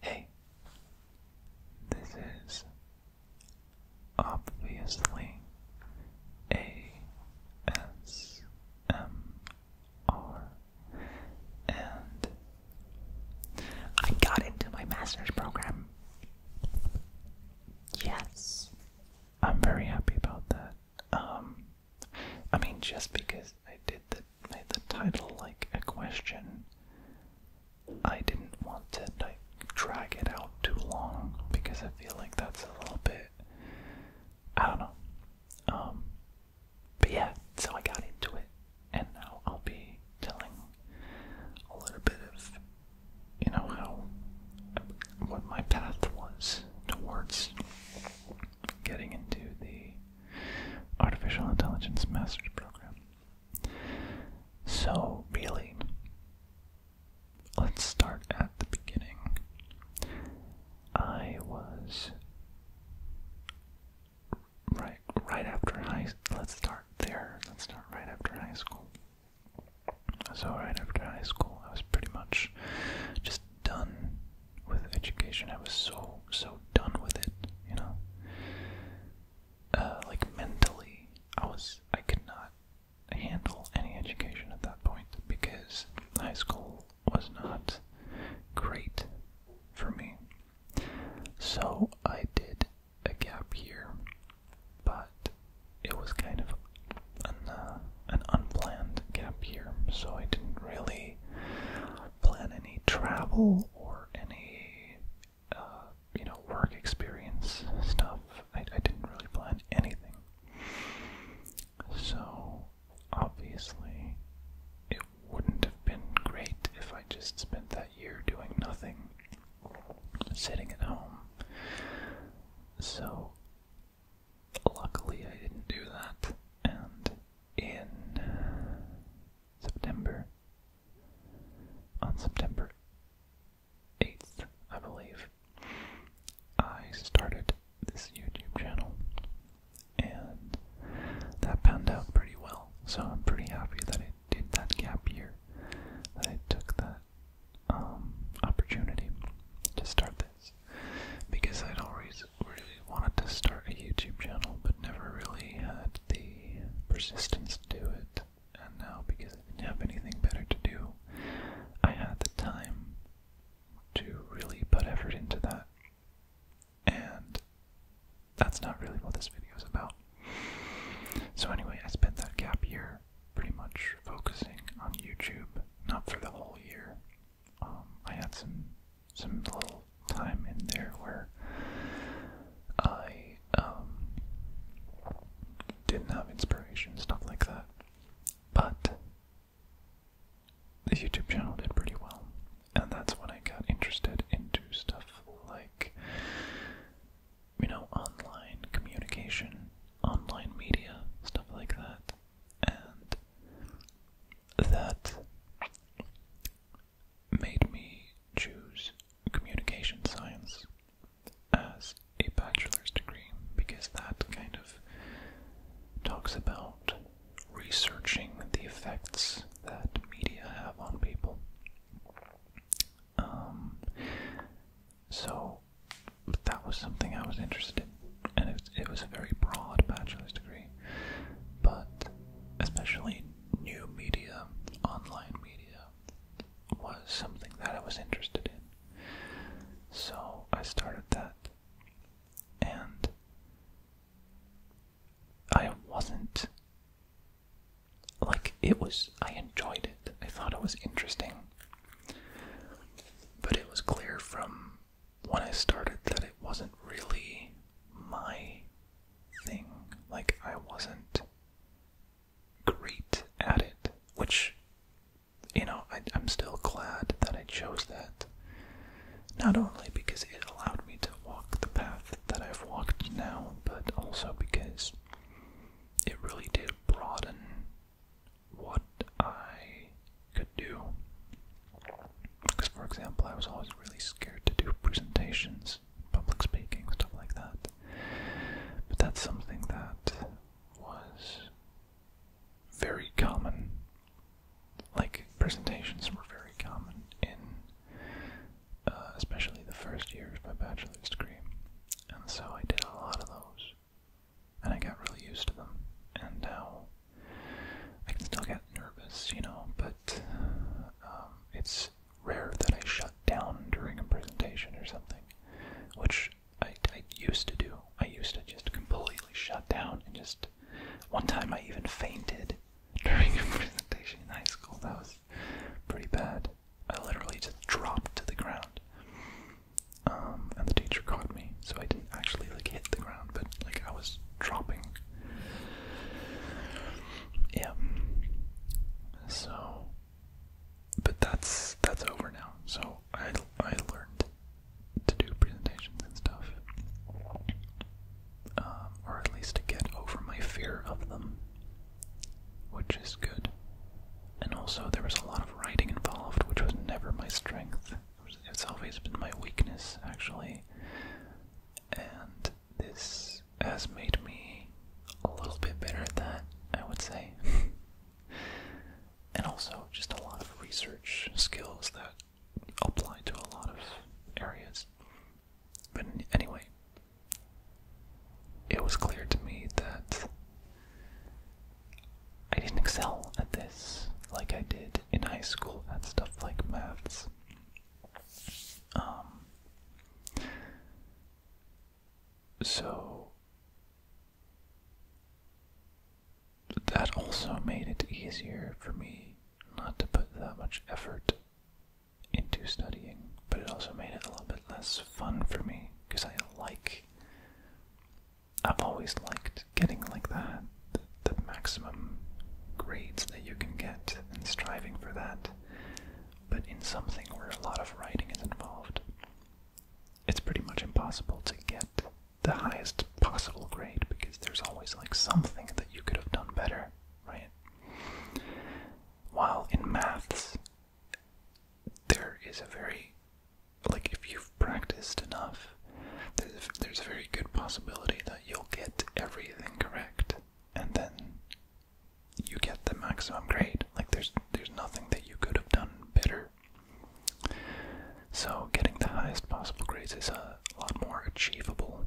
Hey, this is obviously ASMR, and I got into my master's program. Yes, I'm very happy about that. Um, I mean, just because I did the made the title like a question. I didn't want to drag it out too long because I feel like that's a little bit I don't know. Um but yeah, so I got into it and now I'll be telling a little bit of you know how what my path was towards getting into the artificial intelligence master's program. So, really, let's start at the beginning. I was right right after high let's start there. Let's start right after high school. So right after high school, I was pretty much just done with education. I was so so done with it, you know uh, like mentally, I was I could not handle any education at that point because high school was not great for me. So I did a gap year, but it was kind of an uh, an unplanned gap year, so I didn't really plan any travel or any uh, you know, work experience stuff. I didn't really plan anything. So, obviously, it wouldn't have been great if I just spent that year doing nothing, sitting at home. So, luckily, I didn't do that, and in September on September 8th, I believe, I started this YouTube channel, and that panned out pretty well. So I'm pretty happy that I did that gap year, that I took that um, opportunity to start this, because I'd always really wanted to start a YouTube channel, but never really had the persistence to do it, and now because I didn't have anything better to do, I had the time to really put effort into that. And that's not really what this video is about. So, anyway, I spent that gap year pretty much focusing on YouTube, not for the whole year. Um, I had some some little time in there where I um, didn't have inspiration, stuff like that. But the YouTube channel did pretty well, and that's when I got interested into stuff like, you know, online communication, online media, stuff like that. And that made me choose communication science as a bachelor's degree because that kind of talks about researching the effects that media have on people. Um, so that was something I was interested in, and it was a very broad bachelor's degree, but especially new media, online media, was something that I was interested in. So I started that. And I wasn't. Like, it was. I enjoyed it. I thought it was interesting. But it was clear from when I started that it wasn't really my thing. Like, I wasn't great at it, which, you know, I, am still glad that I chose that. Not only because it allowed me to walk the path that I've walked now, but also because it really did broaden what I could do. Because, for example, I was always really scared to do presentations public speaking, stuff like that. But that's something that was very common. Like presentations were very common in, uh, especially the first years of my bachelor's degree, and so I did a lot of those, and I got really used to them. And now I can still get nervous, you know, but um, it's rare that I shut down during a presentation or something, which I, I used to do. I used to just completely shut down and just. One time I even fainted during a presentation in high school. That was pretty bad. I literally just dropped to the ground. Um, and the teacher caught me, so I didn't actually like hit the ground, but like I was dropping yeah. So but that's that's over now. So I I learned to do presentations and stuff. Um, or at least to get over my fear of them, which is good. And also, there was a lot of writing involved, which was never my strength. It's always been my weakness, actually. And this has made me a little bit better at that, I would say. and also just a lot of research skills that apply to a lot of areas. But anyway, it was clear to me that I didn't excel at this like I did in high school at stuff like maths. Um, so that also made it easier for me not to put that much effort into studying, but it also made it a little bit less fun for me because I like. I've always liked getting like that, the, the maximum grades that you can get, and striving for that but in something where a lot of writing is involved, it's pretty much impossible to get the highest possible grade because there's always like something that you could have done better, right? While in maths, there is a very, like, if you've practiced enough, there's, there's a very good possibility that you'll get everything correct, and then you get the maximum grade. Like there's there's nothing that you could have done better. So getting the highest possible grades is a lot more achievable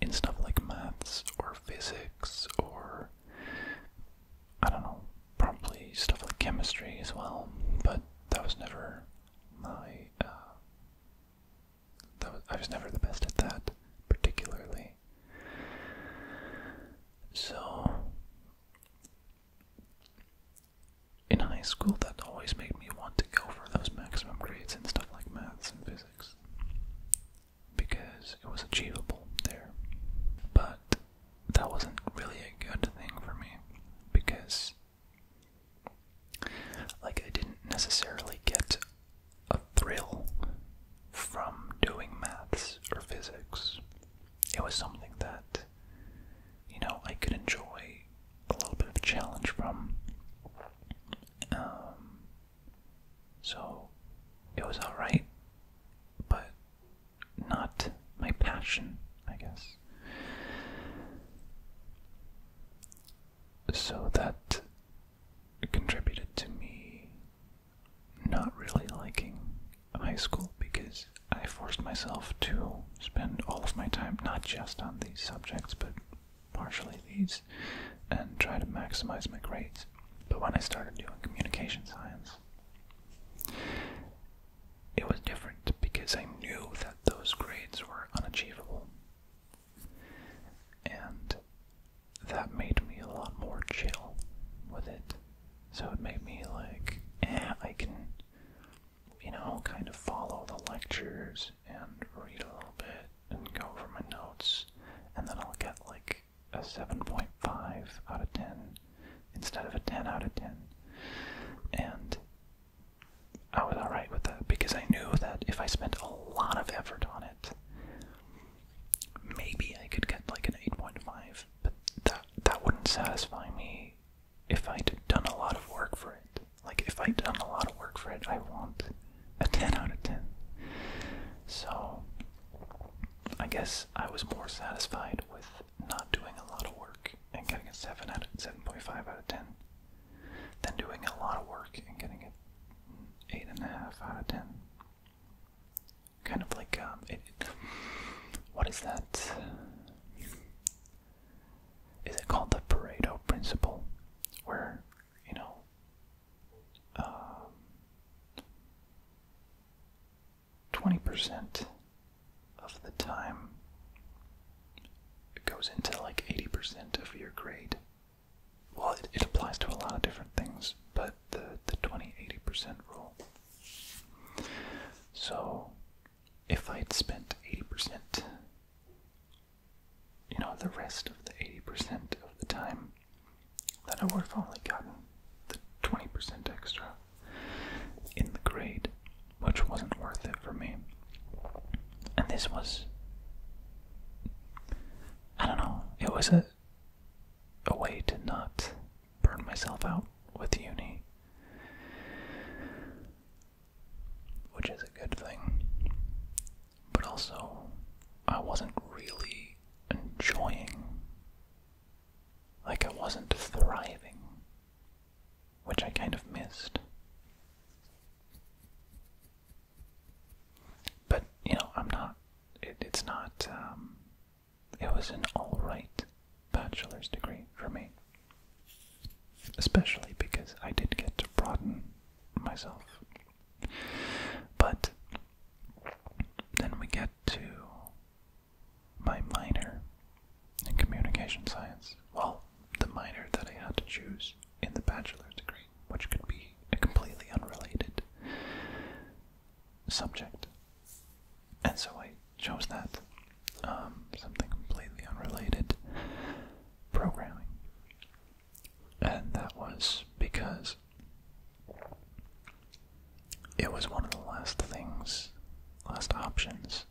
in stuff like maths or physics or I don't know, probably stuff like chemistry as well. But that was never my uh, that was, I was never the best at that, particularly. So, in high school, that always made me want to go for those maximum grades and stuff like maths and physics because it was achievable there. But that wasn't really a good thing for me because, like, I didn't necessarily get a thrill from doing maths or physics. It was something that, you know, I could enjoy a little bit of challenge from. Um, so it was alright, but not my passion, I guess. So that contributed to me not really liking high school because I forced myself to spend all of my time not just on these subjects but partially these and try to maximize my grades. But when I started doing communication science, it was different because I knew that those grades were unachievable. And that made me a lot more chill with it. So it made me like, eh, I can, you know, kind of follow the lectures and read a little bit and go over my notes, and then I'll get like a 7.5 out of 10 instead of a 10 out of 10. And I was alright with that because I knew that if I spent a lot of effort on it, Maybe I could get like an 8.5, but that that wouldn't satisfy me if I'd done a lot of work for it. Like if I'd done a lot of work for it, I want a 10 out of 10. So I guess I was more satisfied with not doing a lot of work and getting a 7 out of 7.5 out of 10 than doing a lot of work and getting it eight and a half out of ten. Kind of like um, what is that? Is it called the Pareto principle, where you know, um, twenty percent of the time it goes into like eighty percent of your grade well, it, applies to a lot of different things, but the, the 20 80% rule. So, if I would spent 80%, you know, the rest of the 80% of the time, then I would have only gotten the 20% extra in the grade, which wasn't worth it for me. And this was I don't know. It was a a way to not burn myself out with uni, which is a good thing. But also, I wasn't really enjoying. Like I wasn't thriving, which I kind of missed. But you know, I'm not. it's not. Um, it was an all right bachelor's degree for me, especially because I did get to broaden myself. But then we get to my minor in communication science. Well, the minor that I had to choose in the bachelor's degree which could be a completely unrelated subject. And so I chose that. Um, something completely unrelated programming. And that was because it was one of the last things, last options,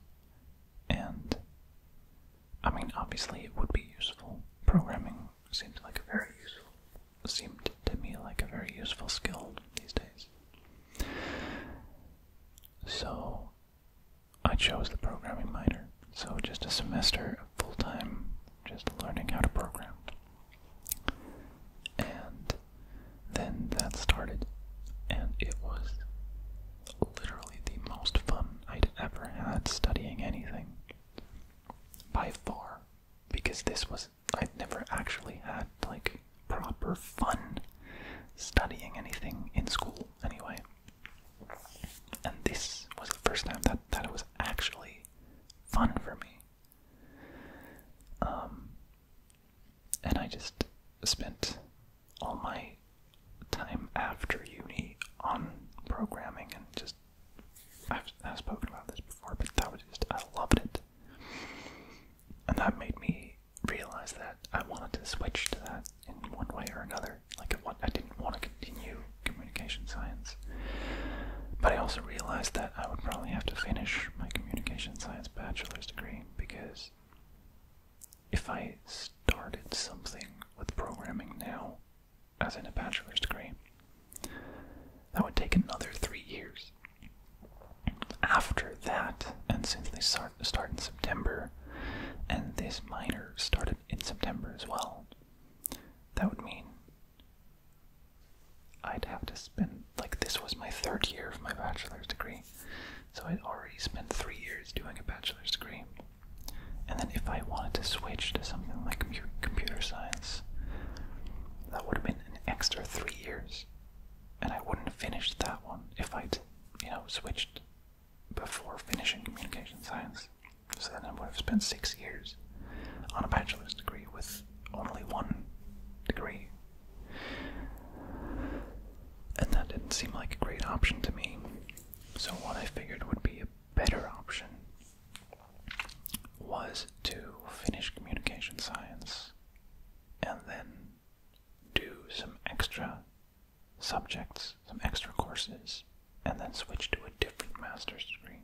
and I mean, obviously it would be useful. Programming seems like a very useful, seemed to me like a very useful skill these days. So I chose the programming minor. So just a semester of full time, just learning how to program. And then that started, and it was literally the most fun I'd ever had studying anything by far because this was I'd never actually had like proper fun studying anything in school anyway. And this was the first time that, that it was actually fun for me. Um, and I just spent all my time after uni on programming and just I've, I've spoken about this before, but that was just, I loved it. And that made me realize that I wanted to switch to that in one way or another. Like, I, I didn't want to continue communication science. But I also realized that I would probably have to finish my communication science bachelor's degree because if I started something with programming now, as in a bachelor's degree. That would take another three years. After that, and since they start, start in September, and this minor started in September as well, that would mean I'd have to spend, like, this was my third year of my bachelor's degree, so I'd already spent three years doing a bachelor's degree. And then if I wanted to switch to something like computer science, that would have been an extra three years. And I wouldn't have finished that one if I'd, you know, switched before finishing communication science. So then I would have spent six years on a bachelor's degree with only one degree. And that didn't seem like a great option to me. So what I figured would be a better option was to finish communication science and then do some extra subjects, some extra courses, and then switch to a different master's degree.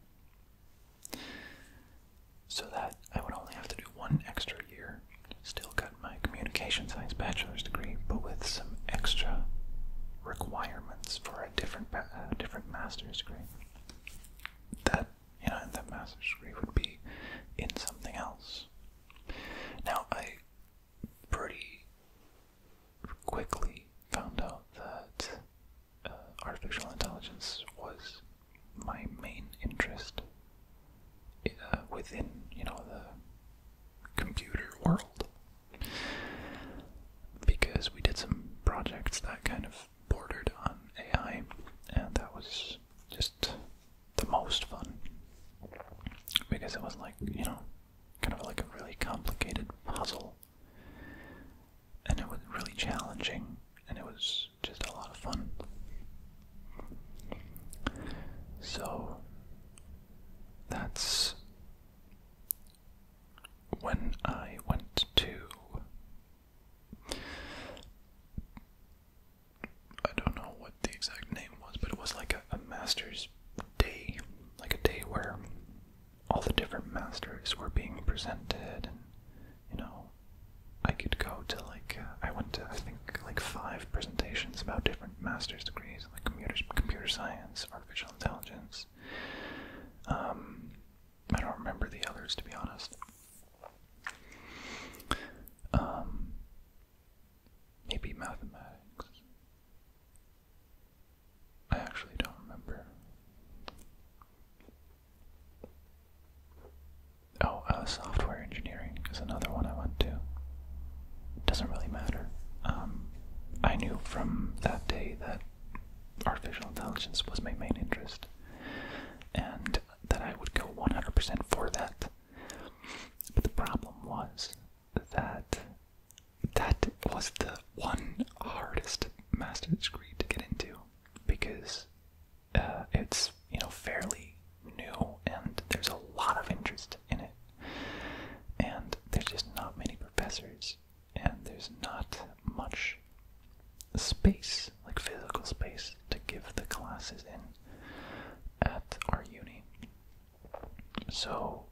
So that I would only have to do one extra year. Still got my communication science bachelor's degree, but with some extra requirements for a different, different master's degree. That you know, that master's degree would be in something else. Now I pretty quickly found out that uh, artificial intelligence was my main interest uh, within you know the computer world because we did some projects that kind of bordered on AI, and that was just the most fun because it was like, you know, kind of like a really complicated puzzle, and it was really challenging, and it was just a lot of fun. So that's when I went to. I don't know what the exact name was, but it was like a, master's day, like a day where all the different masters were being presented, and you know, I could go to like uh, I went to I think like five presentations about different master's degrees, like computers, computer science, artificial intelligence, um, I don't remember the others to be honest. Um, maybe mathematics. I actually don't remember. Oh, uh, software engineering is another one I went to. Doesn't really matter. Um, I knew from that day that artificial intelligence was my main interest, and that I would go 100% for that. But the problem was that that was the one hardest master's degree to get into because uh, it's you know fairly new and there's a lot of interest in it, and there's just not many professors and there's not much space, like physical space, to give the classes in at our uni. So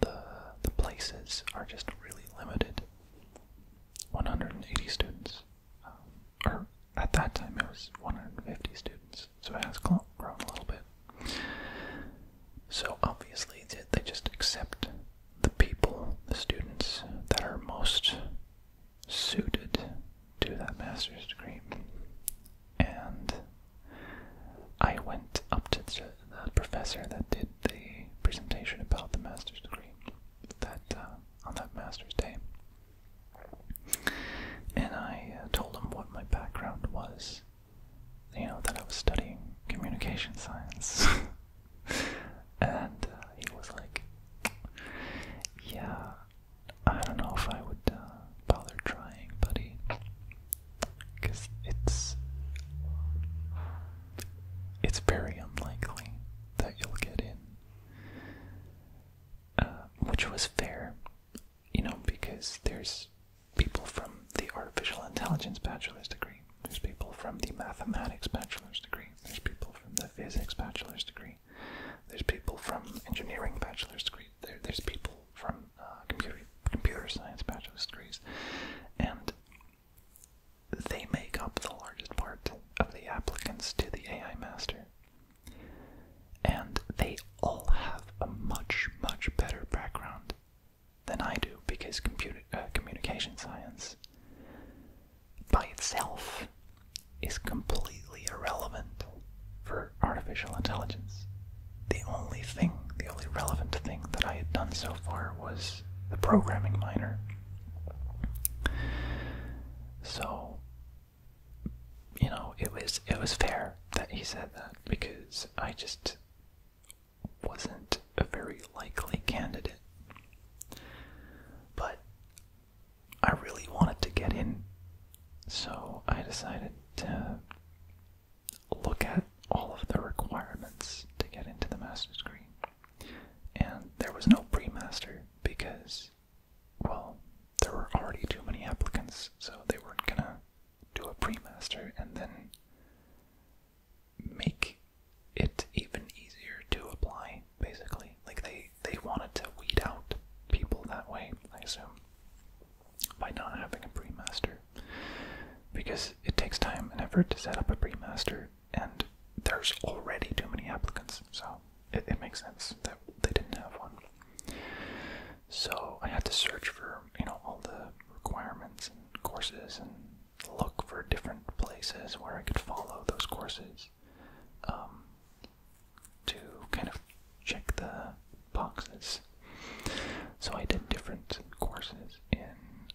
the the places are just really limited. 180 students, um, or at that time it was 150 students, so it has grown a little bit. So obviously they just accept the people, the students that are most suited to that master's degree. And I went up to the professor that did the presentation about the master's degree that uh, on that master's day, and I uh, told him what my background was. You know that I was studying communication science. and uh, he was like, yeah, I don't know if I would uh, bother trying, buddy, because it's it's very unlikely that you'll get in, uh, which was fair, you know, because there's people from the artificial intelligence bachelor's degree there's people from the mathematics bachelor's degree. There's people from the physics bachelor's degree. There's people from engineering bachelor's degree. There, there's people from uh, computer computer science bachelor's degrees, and they make up the largest part of the applicants to the AI master. And they all have a much much better background than I do because computer uh, communication science by itself is completely irrelevant for artificial intelligence. The only thing, the only relevant thing that I had done so far was the programming minor. So, you know, it was it was fair that he said that because I just wasn't a very likely candidate. But I really wanted to get in, so I decided to look at all of the requirements to get into the master's degree. And there was no pre-master because, well, there were already too many applicants, so they weren't gonna do a pre-master and then make it even easier to apply, basically. Like they they wanted to weed out people that way, I assume, by not having a pre-master, because it takes time and effort to set up a pre-master, and there's already too many applicants, so it, it makes sense that they didn't have one. So I had to search for you know all the requirements and courses and look for different places where I could follow those courses um, to kind of check the boxes. So I did different courses in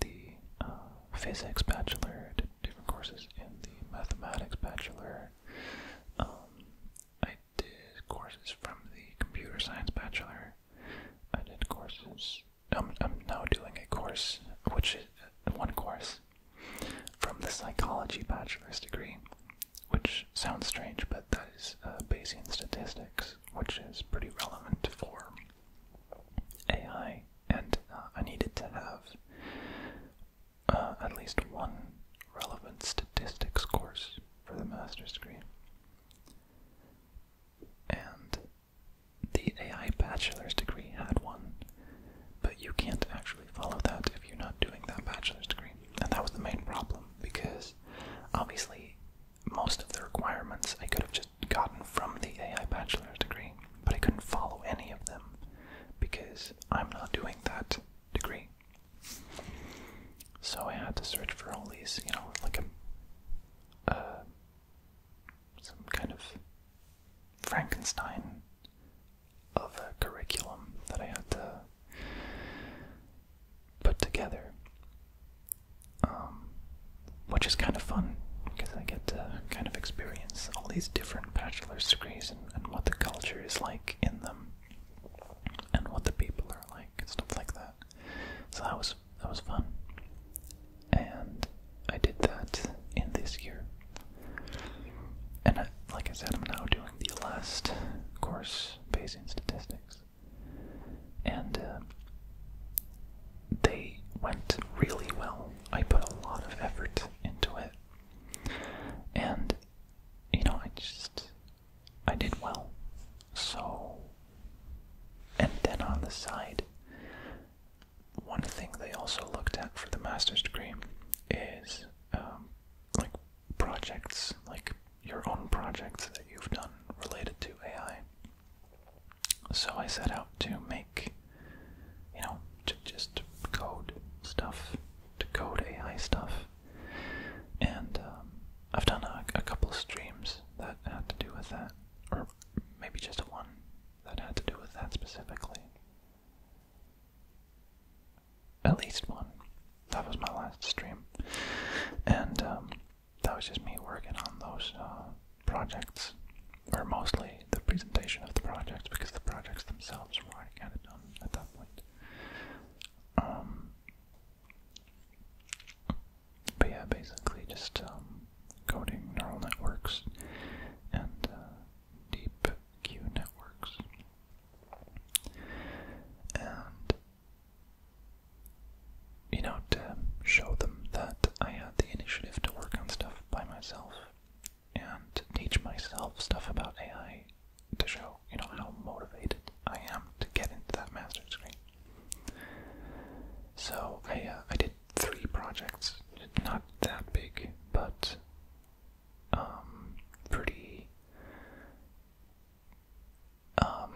the uh, physics bachelor, different courses in the mathematics bachelor. Um, I did courses from the computer science bachelor. I did courses I'm, I'm now doing a course, which is one course from the psychology bachelor's degree, which sounds strange, but that is uh, Bayesian statistics, which is pretty relevant for AI. And uh, I needed to have uh, at least one relevant statistics course for the master's degree. And the AI bachelor's degree had one, but you can't actually follow that if you're not doing that bachelor's degree. And that was the main problem because obviously most of the requirements I could have just gotten from the AI bachelor's degree, but I couldn't follow any of them because I'm not doing that degree. So I had to search for all these, you know, like a, some kind of Frankenstein of a curriculum that I had to put together, um, which is kind of fun because I get to kind of experience all these different bachelor's degrees and, and what the culture is like in them and what the people are like and stuff like that. So that was that was fun, and I did that in this year. And like I said, I'm now doing the last course, Bayesian statistics, and uh, they went really well. I put a lot of effort into it, and you know, I just I did well. So, and then on the side, one thing they also looked at for the master's degree is um, like projects, like your own projects that you've done related to AI. So I set out to make, you know, to just code stuff, to code AI stuff. And um, I've done a, a couple streams that had to do with that or maybe just one that had to do with that specifically. At least one. That was my last stream, and um, that was just me working on those uh, projects, or mostly the presentation of the projects, because the projects themselves were already kind of done at that point. Um, but yeah, basically just um, coding neural networks and uh, deep Q networks. And, you know, to show them that I had the initiative to work on stuff by myself and teach myself stuff about AI to show, you know, how motivated I am to get into that master's degree. So I, uh, I did three projects. Not that big, but um, pretty. Um,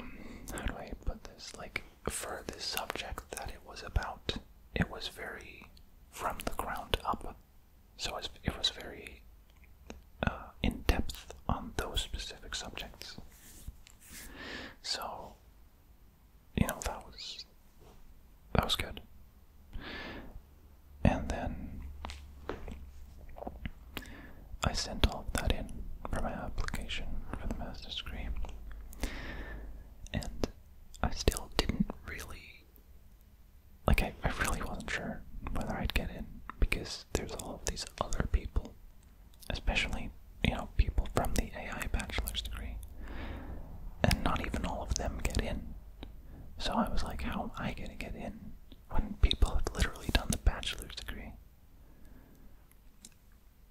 how do I put this? Like, for the subject that it was about, it was very from the ground up. So it was very uh, in depth on those specific subjects. So you know that was that was good. And then I sent all of that in for my application for the master's degree. And I still didn't really like I, I really wasn't sure whether I'd get in because there's all these other people especially you know people from the AI bachelor's degree, and not even all of them get in. So I was like, how am I gonna get in when people have literally done the bachelor's degree?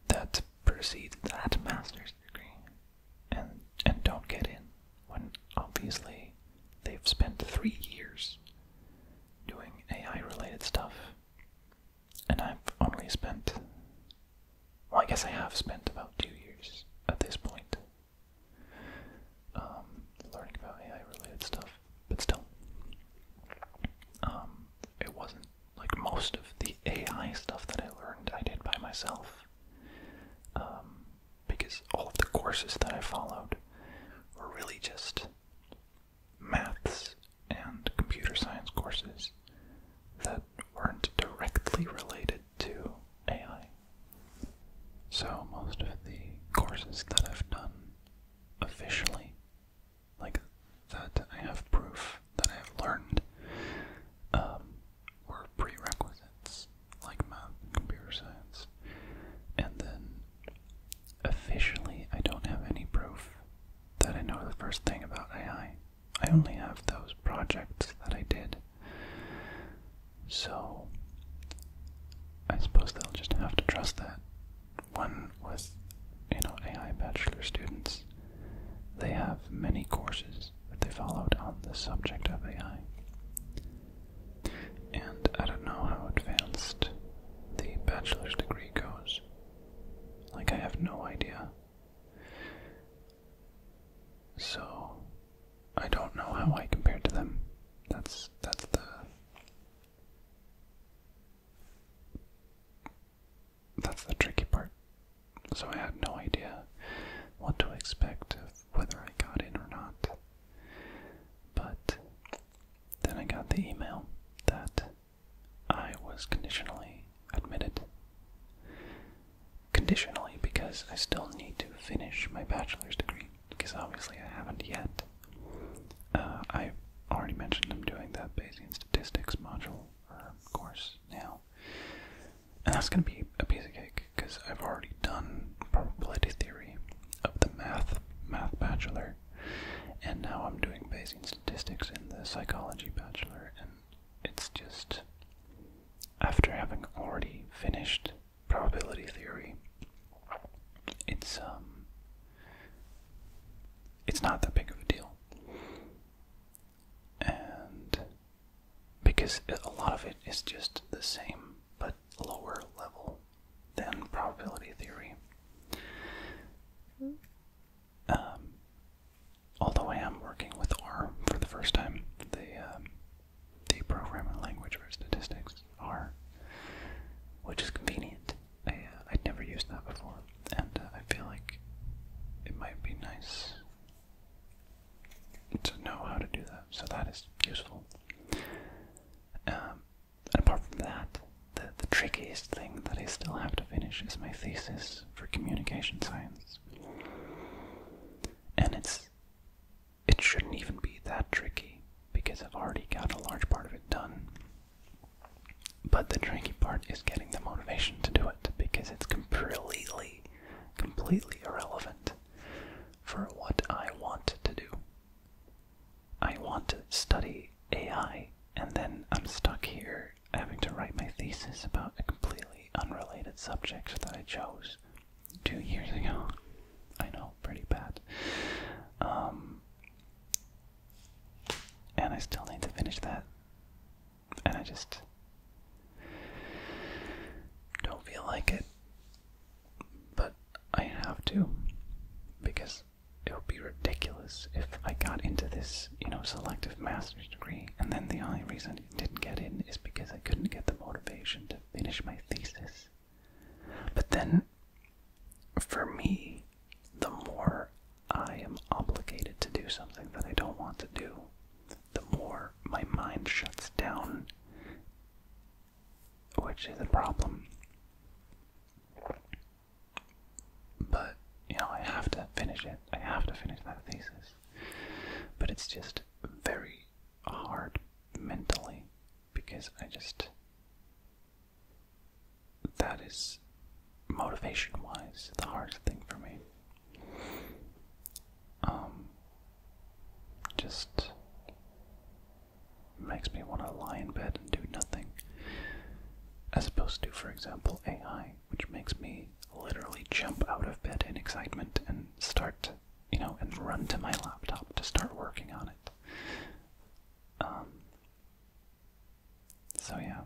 That precedes that master's degree, and and don't get in when obviously they've spent three years doing AI related stuff and I've only spent, well, I guess I have spent about two years at this point um, learning about AI related stuff, but still, um, it wasn't like most of the AI stuff that I learned I did by myself. Um, because all of the courses that I followed were really just maths and computer science courses that are not directly related to AI. So, most of the courses that I've done officially, like that I have proof that I have learned, um, prerequisites, like math computer science. And then, officially, I don't have any proof that I know the first thing about AI. I only have those projects that I did. So I suppose they'll just have to trust that. One with, you know, AI bachelor students, they have many courses that they followed on the subject of AI. And I don't know how advanced the bachelor's degree goes. Like, I have no idea so I don't know how I compared to them. That's that's the that's the tricky part. So I had no idea what to expect of whether I got in or not. But then I got the email that I was conditionally admitted. Conditionally, because I still need to finish my bachelor's degree, because obviously I haven't yet. Uh, I already mentioned I'm doing that Bayesian statistics module uh, course now, and that's going to be a piece of cake because I've already done probability theory of the math math bachelor, and now I'm doing Bayesian statistics in the psychology bachelor, and it's just after having already finished probability theory, it's um it's not that big of a deal. And because a lot of it is just the same but lower level than probability theory. Um, although I am working with R for the first time, the um, the programming language for statistics R, which is convenient. I uh, i never used that before, and uh, I feel like it might be nice to know how to do that. So that is useful. Um, and apart from that, the the trickiest thing that I still have to finish is my thesis for communication science. And it's it shouldn't even be that tricky because I've already got a large part of it done. But the tricky part is getting the motivation to do it because it's completely, completely irrelevant for what I want to do. I want to study AI, and then I'm stuck here having to write my thesis about a completely unrelated subject that I chose two years ago. I know, pretty bad. Um, and I still need to finish that. And I just don't feel like it. But I have to. Because it would be ridiculous if I got into this, you know, selective master's degree and then the only reason I didn't get in is because I couldn't get the motivation to finish my thesis. But then, for me, the more I am obligated to do something that I don't want to do, the more my mind shuts down, which is a problem. But, you know, I have to finish it. I have to finish that thesis. But it's just very hard mentally because I just. That is motivation wise the hardest thing for me. Um, just makes me want to lie in bed and do nothing. As opposed to, for example, AI, which makes me literally jump out of bed in excitement and start, you know, and run to my laptop to start working on it. Um, so yeah,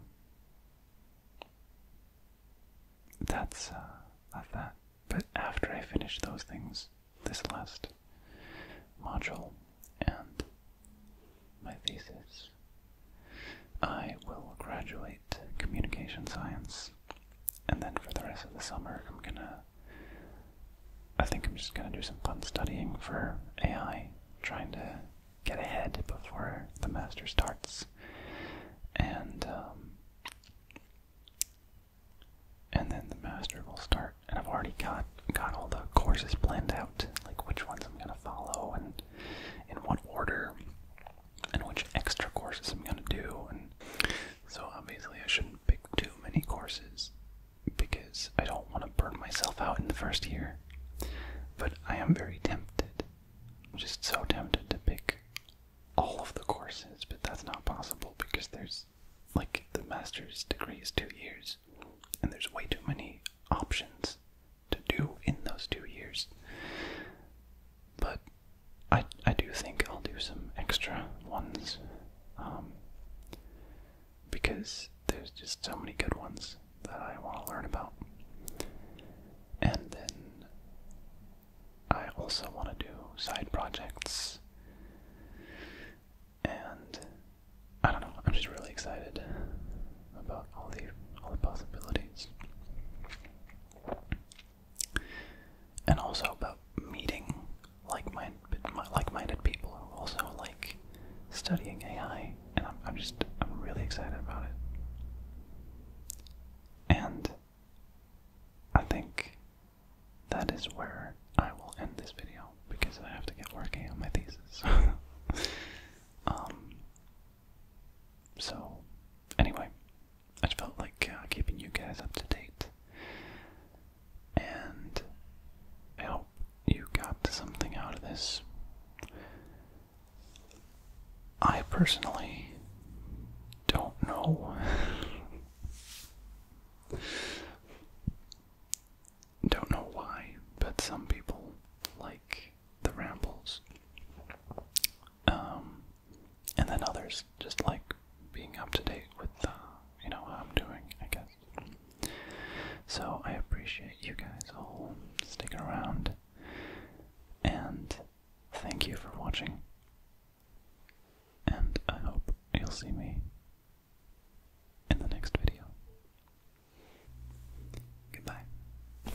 that's uh, that. But after I finish those things, this last module and my thesis, I will graduate communication science, and then for the rest of the summer, I'm gonna. I think I'm just gonna do some fun studying for AI, trying to get ahead before the master starts, and um, and then the master will start. And I've already got got all the courses planned out, like which ones I'm gonna follow and in what order and which extra courses I'm gonna do. And so obviously I shouldn't pick too many courses because I don't want to burn myself out in the first year. But I am very tempted, I'm just so tempted to pick all of the courses, but that's not possible because there's like the master's degree is two years and there's way too many options to do in those two years. But I, I do think I'll do some extra ones um, because there's just so many good ones that I want to learn about. And then I also want to do side projects. And I don't know, I'm just really excited about all the all the possibilities. And also about meeting like-minded like-minded people who also like studying AI, and I'm, just I'm really excited about it. And I think that is where I will end this video because I have to get working on my thesis. Um, so, anyway, I just felt like uh, keeping you guys up to date. And I hope you got something out of this. I personally don't know. don't know why, but some people like the rambles. Um, and then others, just like being up to date with, uh, you know, what I'm doing, I guess. So I appreciate you guys all sticking around, and thank you for watching. And I hope you'll see me in the next video. Goodbye.